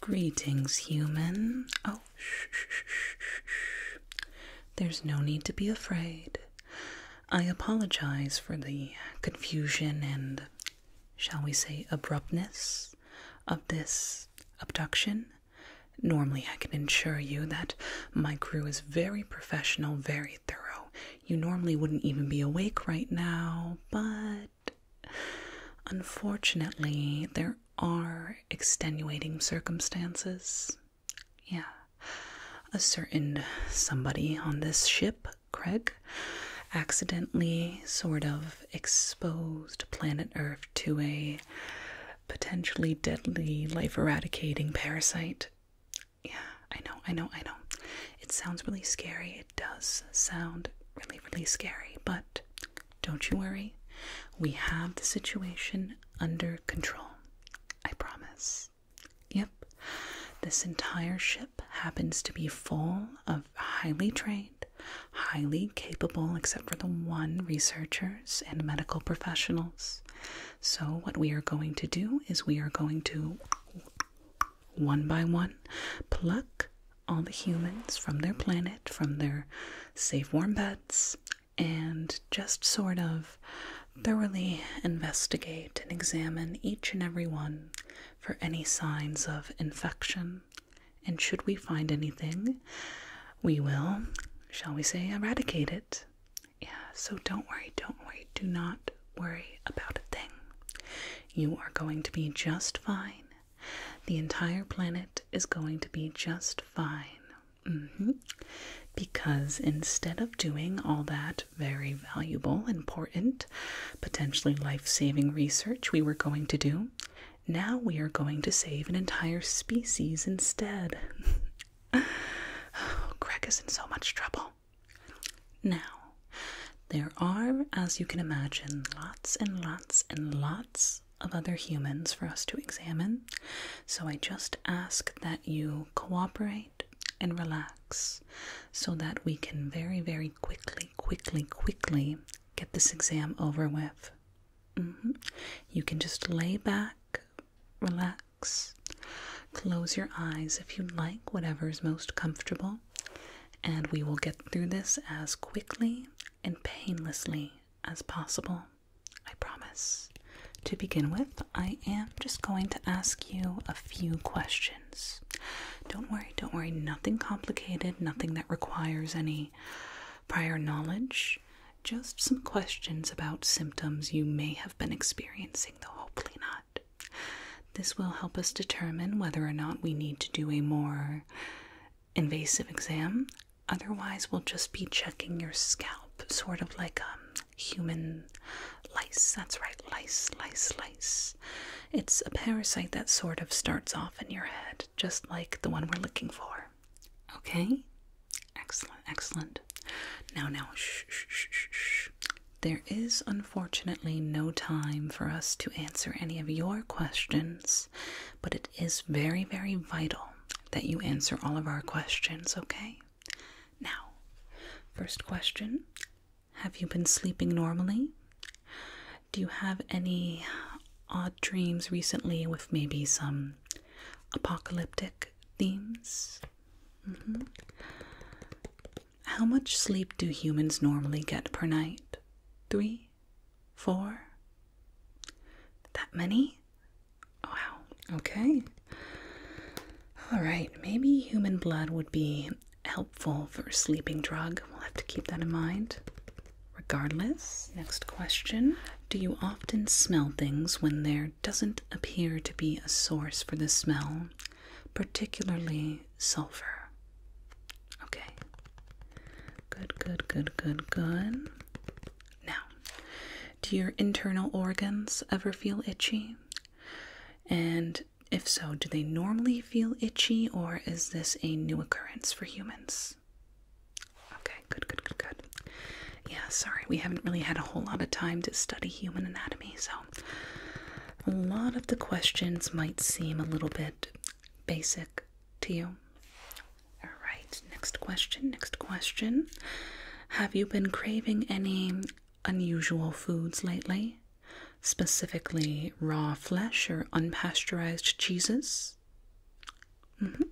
Greetings, human. Oh, shh, shh, shh, shh. There's no need to be afraid. I apologize for the confusion and, shall we say, abruptness of this abduction. Normally, I can assure you that my crew is very professional, very thorough, you normally wouldn't even be awake right now, but unfortunately, there are extenuating circumstances. Yeah. A certain somebody on this ship, Craig, accidentally sort of exposed planet Earth to a potentially deadly life eradicating parasite. Yeah, I know, I know, I know. It sounds really scary. It does sound really, really scary, but don't you worry. We have the situation under control. I promise. Yep. This entire ship happens to be full of highly trained, highly capable, except for the one, researchers and medical professionals. So, what we are going to do is we are going to one by one, pluck all the humans from their planet, from their safe, warm beds, and just sort of thoroughly investigate and examine each and every one for any signs of infection. And should we find anything, we will, shall we say, eradicate it. Yeah, so don't worry, don't worry. Do not worry about a thing. You are going to be just fine. The entire planet is going to be just fine. Mm-hmm. Because instead of doing all that very valuable, important, potentially life saving research we were going to do, now we are going to save an entire species instead. Oh, Greg is in so much trouble now. there are, as you can imagine, lots and lots and lots of other humans for us to examine, so I just ask that you cooperate and relax so that we can very, very quickly, quickly, quickly get this exam over with. Mm-hmm. You can just lay back, relax, Close your eyes if you like, whatever is most comfortable, and we will get through this as quickly and painlessly as possible. I promise. To begin with, I am just going to ask you a few questions. Don't worry, don't worry, nothing complicated, nothing that requires any prior knowledge. Just some questions about symptoms you may have been experiencing, though hopefully not. This will help us determine whether or not we need to do a more invasive exam. Otherwise, we'll just be checking your scalp, sort of like a um, human lice. That's right, lice, lice, lice. It's a parasite that sort of starts off in your head, just like the one we're looking for. Okay? Excellent, excellent. Now, now, shh, shh, shh, shh. There is unfortunately no time for us to answer any of your questions, but it is very, very vital that you answer all of our questions, okay? Now, first question Have you been sleeping normally? Do you have any odd dreams recently with maybe some apocalyptic themes? Mm-hmm. How much sleep do humans normally get per night? Three? Four? That many? Wow, okay. Alright, maybe human blood would be helpful for a sleeping drug. We'll have to keep that in mind. Regardless, next question. Do you often smell things when there doesn't appear to be a source for the smell? particularly sulfur. Okay. Good, good, good, good, good. Now, do your internal organs ever feel itchy? And if so, do they normally feel itchy or is this a new occurrence for humans? Okay, good, good, good, good. Yeah, sorry, we haven't really had a whole lot of time to study human anatomy, so a lot of the questions might seem a little bit basic to you. All right, next question. Next question. Have you been craving any unusual foods lately? Specifically, raw flesh or unpasteurized cheeses? Mm -hmm.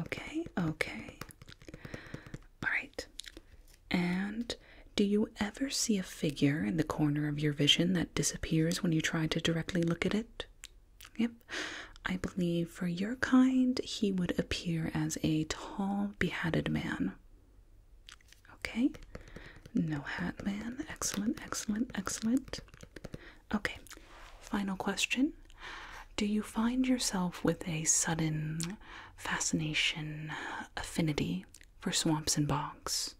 Okay, okay. All right. And do you ever see a figure in the corner of your vision that disappears when you try to directly look at it? Yep. I believe for your kind, he would appear as a tall, beheaded man. Okay. No hat man. Excellent, excellent, excellent. Okay. Final question. Do you find yourself with a sudden fascination, affinity for swamps and bogs.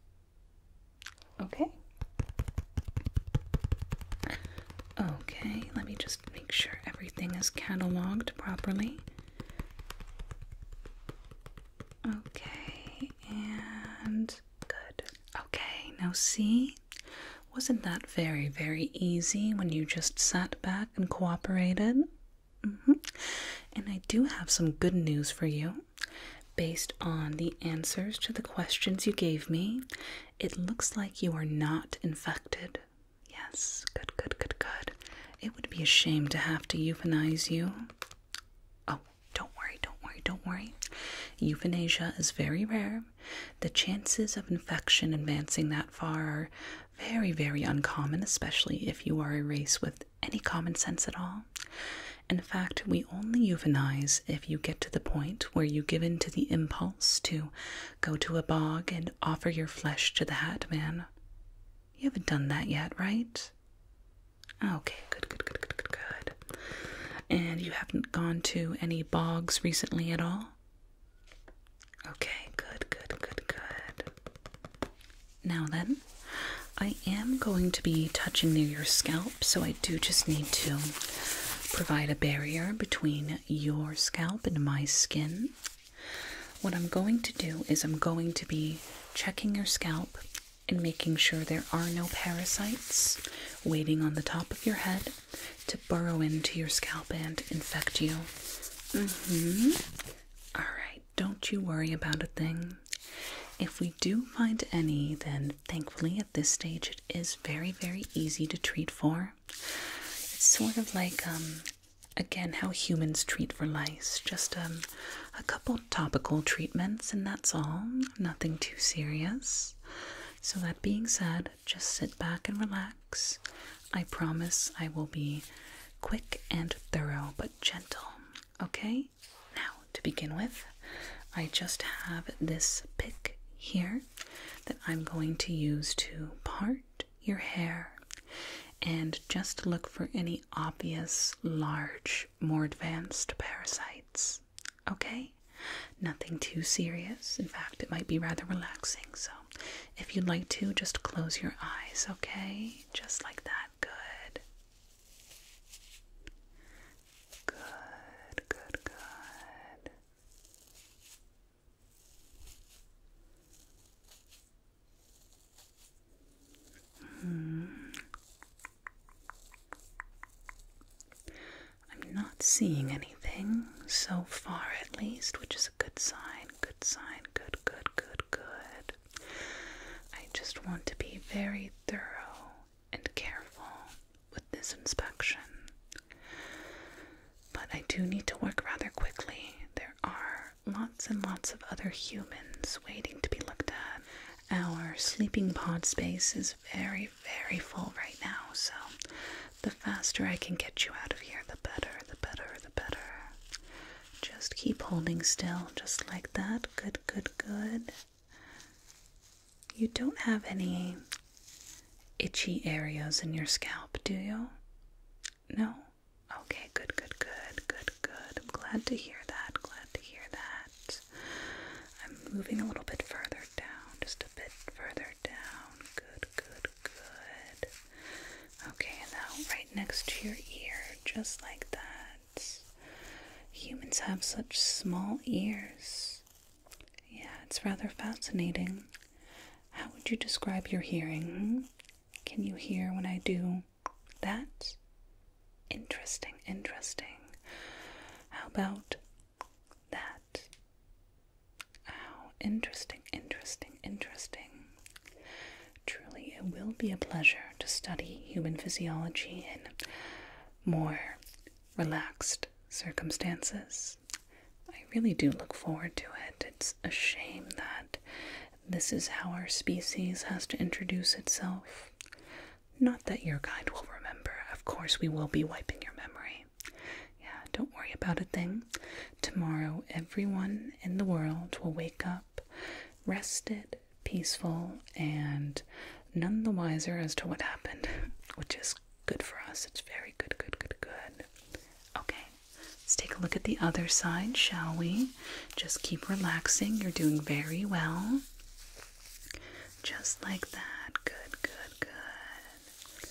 Okay. Okay, let me just make sure everything is cataloged properly. Okay, and good. Okay, now see? Wasn't that very, very easy when you just sat back and cooperated? Mm-hmm. And I do have some good news for you. Based on the answers to the questions you gave me, it looks like you are not infected. Yes, good, good, good, good. It would be a shame to have to euthanize you. Oh, don't worry, don't worry, don't worry. Euthanasia is very rare. The chances of infection advancing that far are very, very uncommon, especially if you are a race with any common sense at all. In fact, we only euthanize if you get to the point where you give in to the impulse to go to a bog and offer your flesh to the hat man. You haven't done that yet, right? Okay, good, good, good, good, good, good. And you haven't gone to any bogs recently at all? Okay, good, good, good, good. Now then, I am going to be touching near your scalp, so I do just need to provide a barrier between your scalp and my skin. What I'm going to do is I'm going to be checking your scalp and making sure there are no parasites waiting on the top of your head to burrow into your scalp and infect you. Mm-hmm. right don't you worry about a thing. If we do find any, then thankfully at this stage it is very, very easy to treat for. It's sort of like, um, again, how humans treat for lice. Just um, a couple topical treatments, and that's all. Nothing too serious. So, that being said, just sit back and relax. I promise I will be quick and thorough but gentle. Okay? Now, to begin with, I just have this pick here that I'm going to use to part your hair and just look for any obvious, large, more advanced parasites. Okay? Nothing too serious. In fact, it might be rather relaxing. So, if you'd like to, just close your eyes, okay? just like that. Good. Good, good, good. Mm. I'm not seeing anything so far, at least, which is a good sign. Good sign. Good, good, good, good. I just want to be very thorough and careful with this inspection. But I do need to work rather quickly. There are lots and lots of other humans waiting to be looked at. Our sleeping pod space is very, very full right now, so the faster I can get you out of here, the better, the better, the better. Just keep holding still, just like that. Good, good, good. You don't have any itchy areas in your scalp, do you? No? Okay, good, good, good, good, good. I'm glad to hear that. Glad to hear that. I'm moving a little bit further down, just a bit further down. Good, good, Good. Okay, now right next to your ear, just like that. Humans have such small ears. Yeah, it's rather fascinating. How would you describe your hearing? Can you hear when I do that? Interesting, interesting. How about that? oh, interesting, interesting, interesting. Truly, it will be a pleasure to study human physiology in more relaxed circumstances. I really do look forward to it. It's a shame that this is how our species has to introduce itself. Not that your guide will remember, of course, we will be wiping your memory. Yeah, don't worry about a thing. Tomorrow, everyone in the world will wake up rested, peaceful, and none the wiser as to what happened, which is good for us. It's very good, good, good, good. Okay, let's take a look at the other side, shall we? Just keep relaxing. You're doing very well. Just like that. Good, good, good.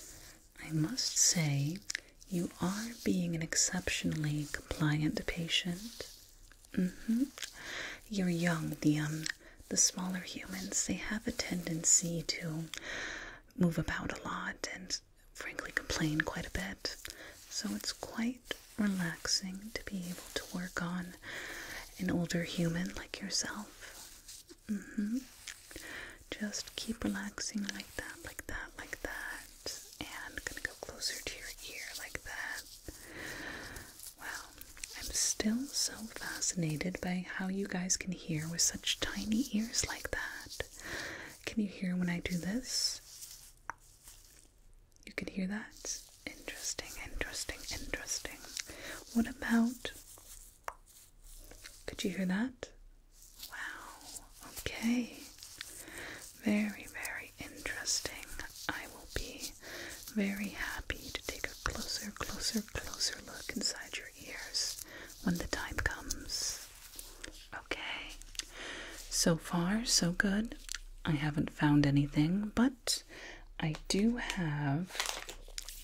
I must say, you are being an exceptionally compliant patient. mm You're young. The um, the smaller humans they have a tendency to move about a lot and frankly complain quite a bit. So it's quite relaxing to be able to work on an older human like yourself. Mm-hmm. Just keep relaxing like that, like that, like that and gonna go closer to your ear like that. Wow, I'm still so fascinated by how you guys can hear with such tiny ears like that. Can you hear when I do this? You can hear that? Interesting, interesting, interesting. What about? Could you hear that? Wow, okay. Very, very interesting. I will be very happy to take a closer, closer, closer look inside your ears when the time comes. Okay. So far, so good. I haven't found anything, but I do have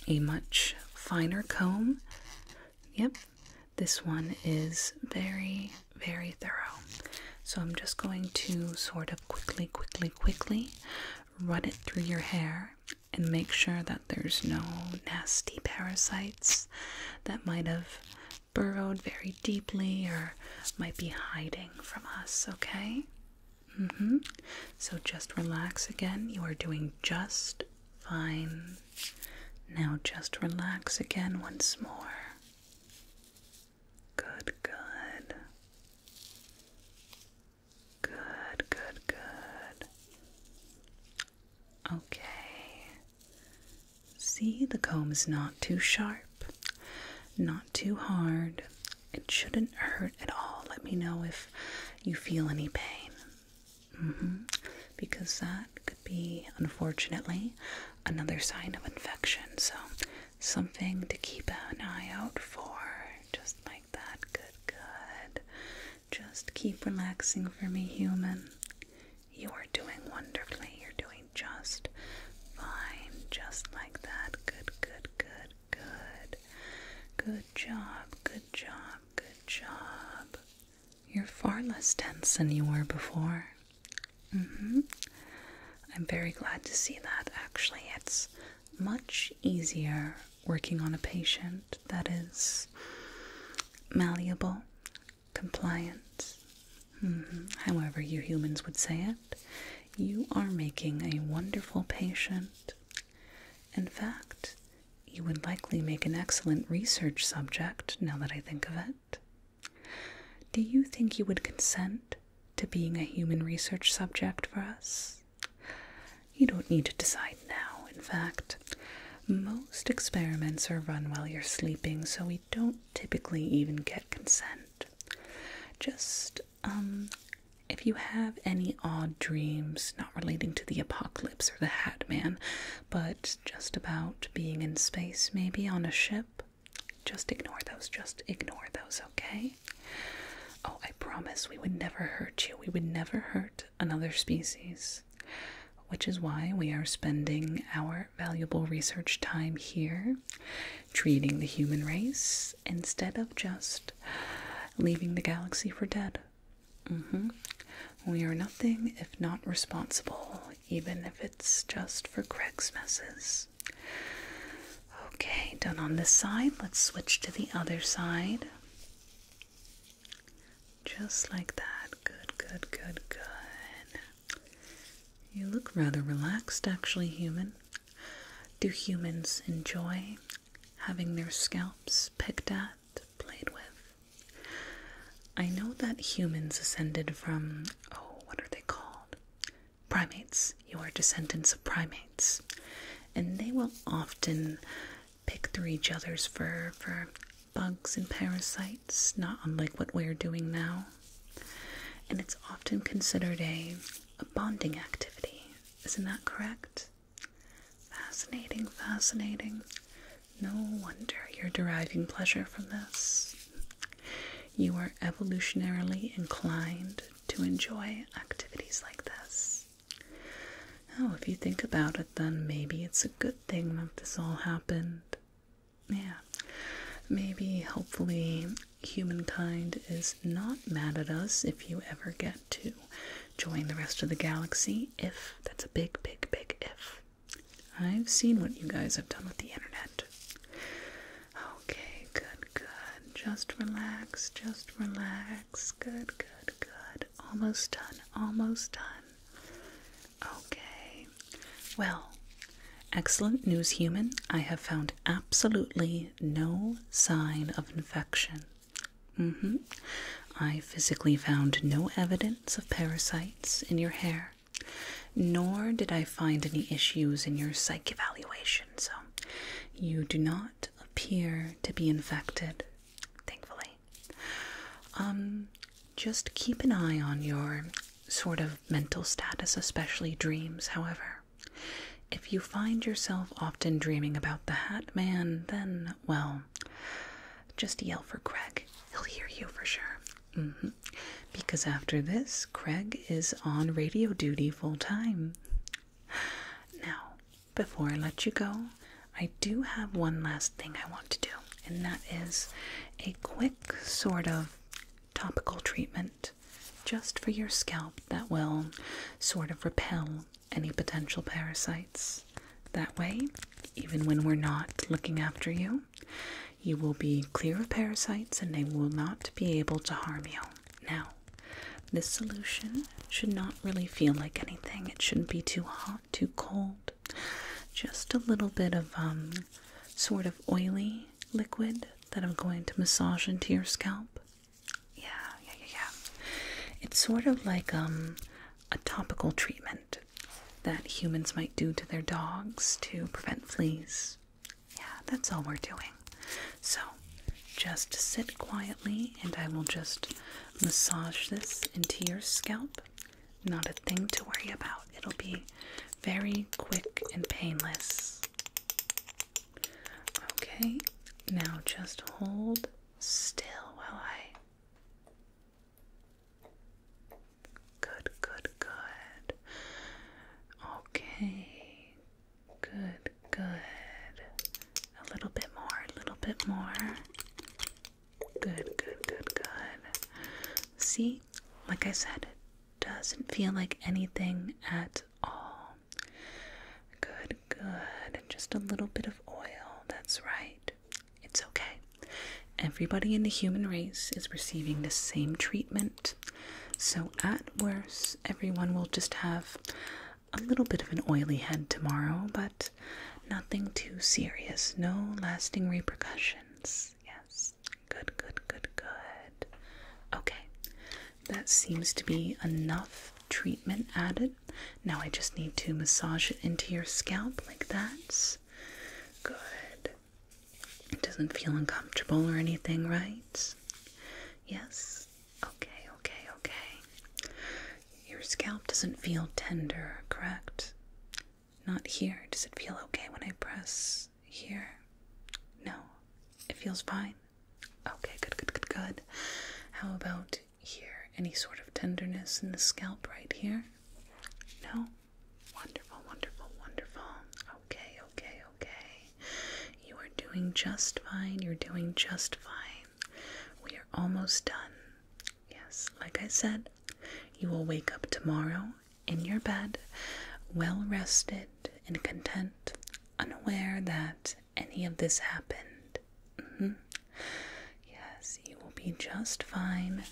a much finer comb. Yep, this one is very, very thorough. So I'm just going to sort of quickly, quickly, quickly run it through your hair and make sure that there's no nasty parasites that might have burrowed very deeply or might be hiding from us, okay? hmm So just relax again. You are doing just fine. Now just relax again once more. Good, good. Good, good, good. Okay. See, the comb is not too sharp, not too hard. It shouldn't hurt at all. Let me know if you feel any pain. Mm-hmm. Because that be, unfortunately, another sign of infection. So, something to keep an eye out for. Just like that. Good, good. Just keep relaxing for me, human. You are doing wonderfully. You're doing just fine. Just like that. Good, good, good, good. Good job, good job, good job. You're far less tense than you were before. Mm-hmm. I'm very glad to see that, actually. It's much easier working on a patient that is malleable, compliant. Mm-hmm. However, you humans would say it, you are making a wonderful patient. In fact, you would likely make an excellent research subject now that I think of it. Do you think you would consent to being a human research subject for us? You don't need to decide now, in fact. Most experiments are run while you're sleeping, so we don't typically even get consent. Just, um, if you have any odd dreams not relating to the apocalypse or the Hat Man, but just about being in space, maybe on a ship. Just ignore those. Just ignore those, okay? Oh, I promise we would never hurt you. We would never hurt another species, which is why we are spending our valuable research time here treating the human race instead of just leaving the galaxy for dead. Mm-hmm. We are nothing if not responsible, even if it's just for Craig's messes. Okay, done on this side. Let's switch to the other side. Just like that. Good, good, good, good. You look rather relaxed, actually, human. Do humans enjoy having their scalps picked at, played with? I know that humans ascended from, oh, what are they called? Primates. You are descendants of primates. And they will often pick through each other's fur for bugs and parasites, not unlike what we're doing now. And it's often considered a, a bonding activity. Isn't that correct? Fascinating, fascinating. No wonder you're deriving pleasure from this. You are evolutionarily inclined to enjoy activities like this. Oh, if you think about it, then maybe it's a good thing that this all happened. Yeah, maybe hopefully humankind is not mad at us if you ever get to join the rest of the galaxy. If that's a big, big, big if. I've seen what you guys have done with the internet. Okay, good, good. Just relax, just relax. Good, good, good. Almost done, almost done. Okay. Well, excellent news, human. I have found absolutely no sign of infection. Mm hmm. I physically found no evidence of parasites in your hair nor did I find any issues in your psych evaluation, so you do not appear to be infected, thankfully. Um, just keep an eye on your sort of mental status, especially dreams, however. If you find yourself often dreaming about the Hat Man, then, well, just yell for Greg. He'll hear you for sure. Mm-hmm. Because after this, Craig is on radio duty full time. Now, before I let you go, I do have one last thing I want to do, and that is a quick sort of topical treatment just for your scalp that will sort of repel any potential parasites. That way, even when we're not looking after you, you will be clear of parasites and they will not be able to harm you. Now, this solution should not really feel like anything. It shouldn't be too hot, too cold. Just a little bit of um, sort of oily liquid that I'm going to massage into your scalp. Yeah, yeah, yeah, yeah. It's sort of like um, a topical treatment that humans might do to their dogs to prevent fleas. Yeah, that's all we're doing. So just sit quietly and I will just massage this into your scalp. Not a thing to worry about. It'll be very quick and painless. Okay, now just hold still while I Good, good, good. Okay. Good, good. A little bit more, a little bit more. Good, good, good, good. See, like I said, it doesn't feel like anything at all. Good, good. Just a little bit of oil, that's right. It's okay. Everybody in the human race is receiving the same treatment. So, at worst, everyone will just have a little bit of an oily head tomorrow, but nothing too serious. No lasting repercussions. Yes. Good, good, good, good. Okay. That seems to be enough treatment added. Now I just need to massage it into your scalp like that. Good. It doesn't feel uncomfortable or anything, right? Yes. Okay, okay, okay. Your scalp doesn't feel tender, correct? Not here. Does it feel okay when I press here? No. It feels fine. Okay, good, good, good, good. How about here? Any sort of tenderness in the scalp right here? No? Wonderful, wonderful, wonderful. Okay, okay, okay. You are doing just fine. You're doing just fine. We are almost done. Yes, like I said, you will wake up tomorrow in your bed, well rested and content, unaware that any of this happened. Mm-hmm. Yes, you will be just fine,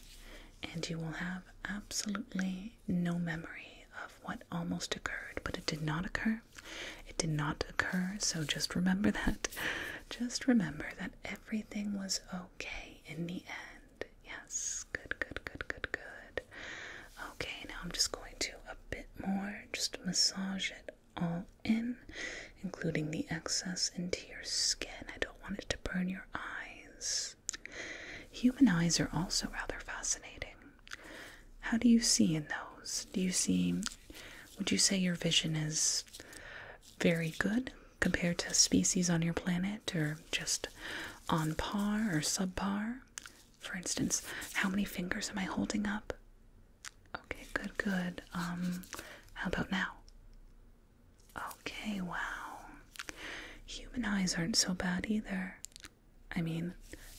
and you will have absolutely no memory of what almost occurred, but it did not occur. It did not occur, so just remember that. Just remember that everything was okay in the end. Yes, good, good, good, good, good. Okay, now I'm just going to a bit more, just massage it all in including the excess into your skin. I don't want it to burn your eyes. Human eyes are also rather fascinating. How do you see in those? Do you see, would you say your vision is very good compared to species on your planet, or just on par or subpar? For instance, how many fingers am I holding up? Okay, good, good. Um, how about now? Okay, wow. Human eyes aren't so bad either. I mean,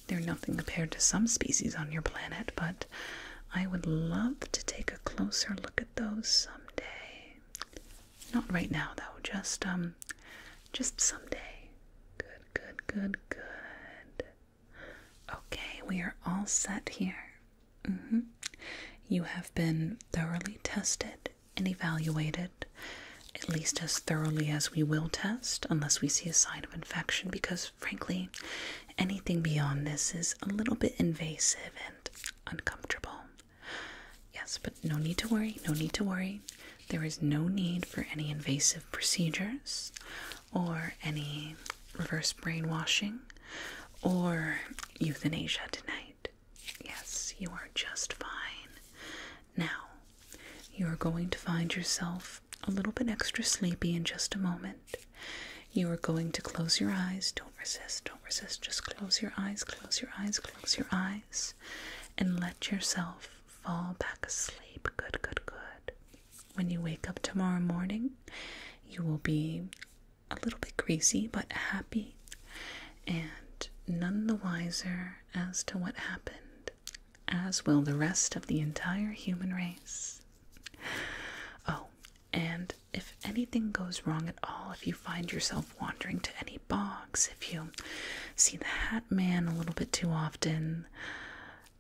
they're nothing compared to some species on your planet, but I would love to take a closer look at those someday. Not right now though, just um just someday. Good, good, good, good. Okay, we are all set here. Mm -hmm. You have been thoroughly tested and evaluated, at least as thoroughly as we will test, unless we see a sign of infection, because frankly, anything beyond this is a little bit invasive and uncomfortable. Yes, but no need to worry, no need to worry. There is no need for any invasive procedures or any reverse brainwashing or euthanasia tonight. Yes, you are just fine. Now, you are going to find yourself a little bit extra sleepy in just a moment. You are going to close your eyes. Don't resist, don't resist. Just close your eyes, close your eyes, close your eyes, and let yourself fall back asleep. Good, good, good. When you wake up tomorrow morning, you will be a little bit greasy, but happy and none the wiser as to what happened, as will the rest of the entire human race. Oh, and if anything goes wrong at all, if you find yourself wandering to any bogs, if you see the hat man a little bit too often,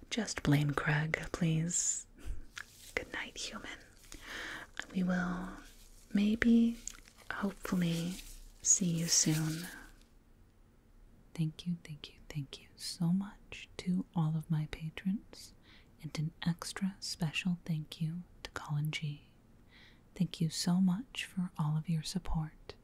just blame Craig, please. Good night, human. We will maybe, hopefully, see you soon. Thank you, thank you, thank you so much to all of my patrons, and an extra special thank you to Colin G. Thank you so much for all of your support.